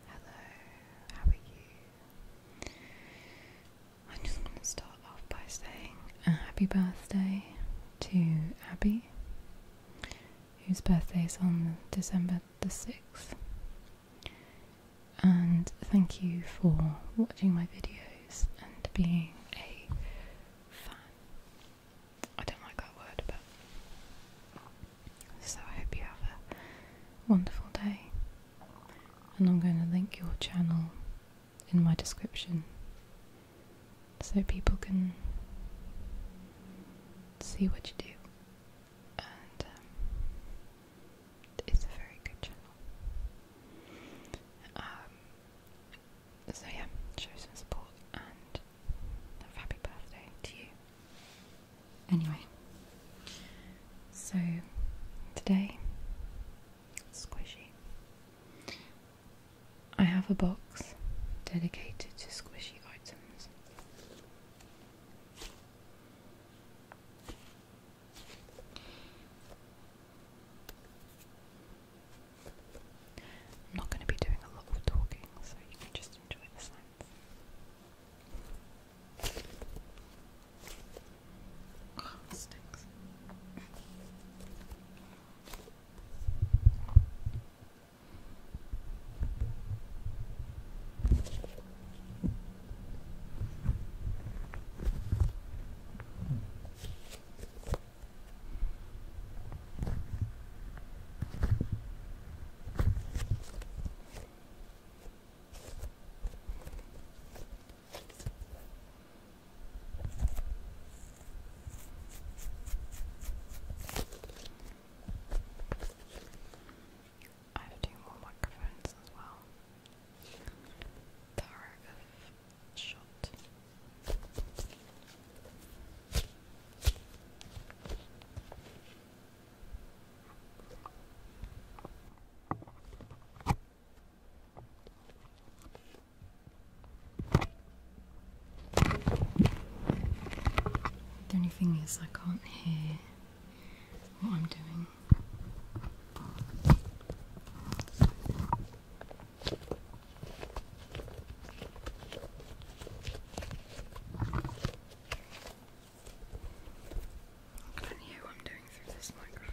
Hello, how are you? i just going to start off by saying a happy birthday to Abby, whose birthday is on December the 6th. And thank you for watching my videos and being a fan. I don't like that word, but so I hope you have a wonderful day. And I'm going to link your channel in my description so people can see what you do. And um, it's a very good channel. Um, so yeah, show some support and happy birthday to you. Anyway, so today, Squishy. I have a box dedicated to squishy items. I'm not going to be doing a lot of talking, so you can just enjoy the sound. Oh, it I have two more microphones as well. Power shot. The only thing is, I can't hear what I'm doing. I don't know what I'm doing through this microphone.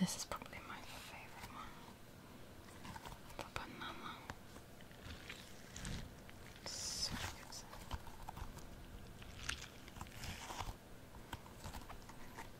This is probably my favorite one. The banana. so good.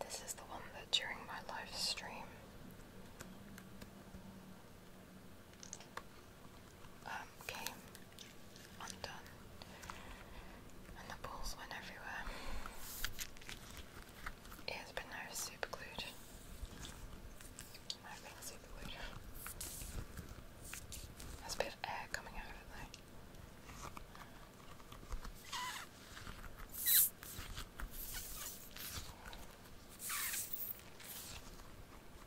This is the one that during my live stream um, undone, and the balls went everywhere. It has been now super glued. I've super glued. There's a bit of air coming out of it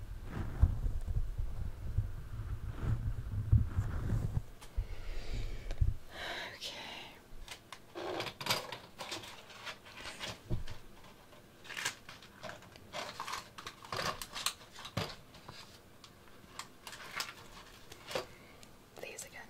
Okay. These again.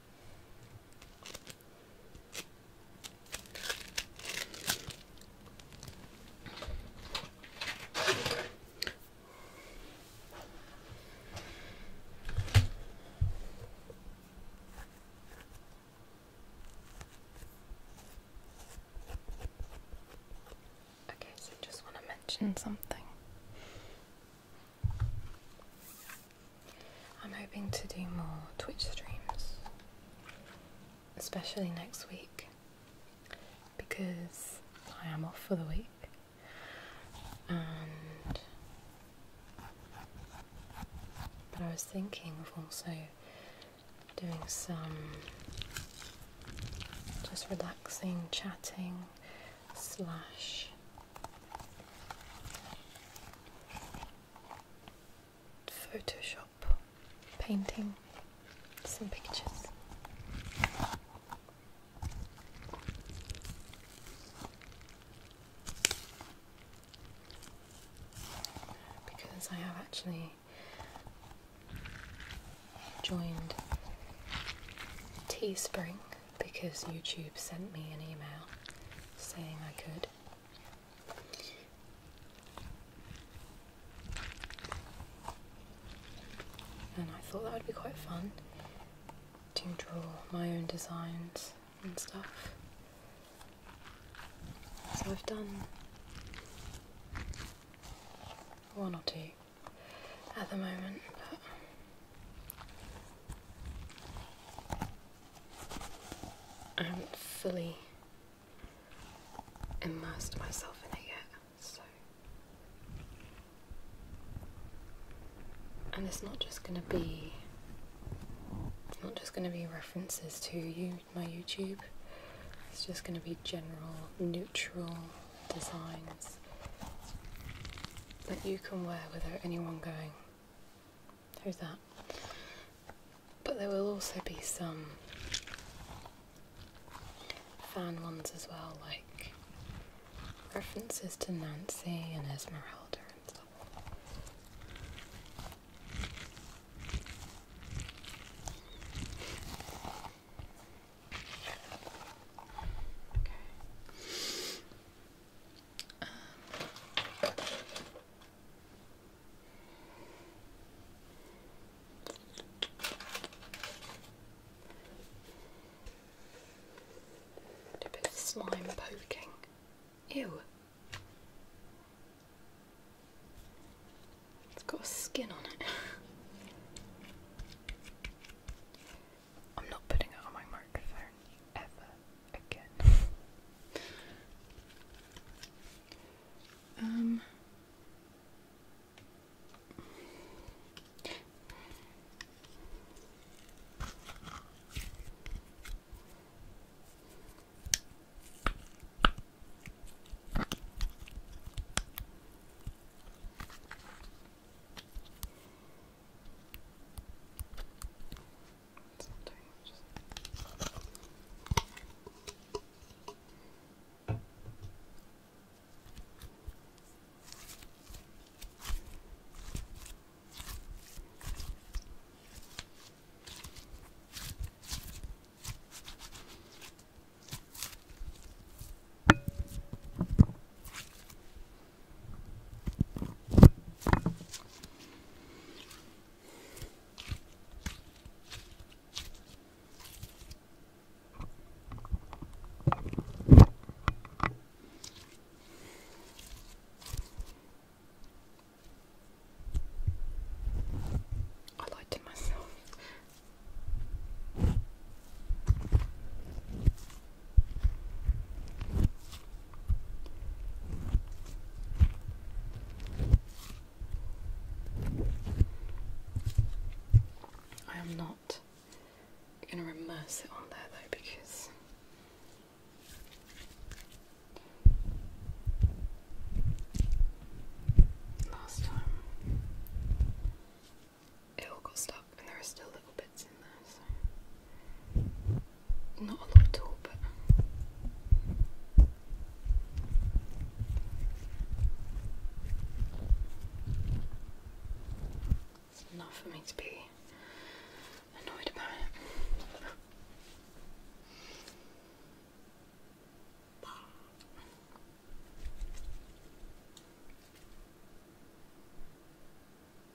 Okay, so I just want to mention something. I'm hoping to do more Twitch streams, especially next week, because I am off for the week but I was thinking of also doing some just relaxing chatting slash Photoshop painting some pictures. Because I have actually joined Teespring because YouTube sent me an email saying I could. And I thought that would be quite fun to draw my own designs and stuff. So I've done one or two at the moment, but I haven't fully immersed myself in it yet, And it's not just gonna be. not just gonna be references to you, my YouTube. It's just gonna be general, neutral designs that you can wear without anyone going, Who's that. But there will also be some fan ones as well, like references to Nancy and Esmeralda and stuff. Okay a bit of slime poking. Ew. It's got a skin on it. I'm not putting it on my microphone ever again. um. It's not doing much. I lied to myself. I am not going to immerse it on there though because last time it all got stuck and there are still little bits not a lot at all, but it's enough for me to be annoyed about it.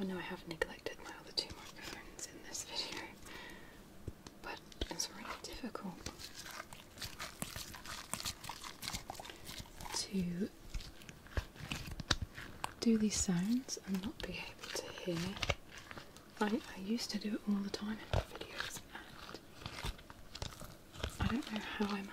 Oh no! I have neglected my other two microphones in this video, but it's really difficult to do these sounds and not be able to hear. I, I used to do it all the time in my videos and I don't know how I managed.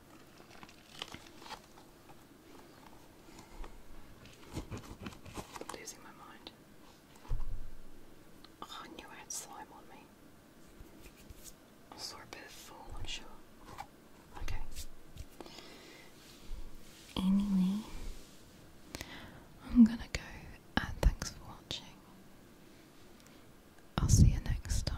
i losing my mind. Oh, had slime on me. I saw I'm sure. Okay. Anyway, I'm gonna go and uh, thanks for watching. I'll see you next time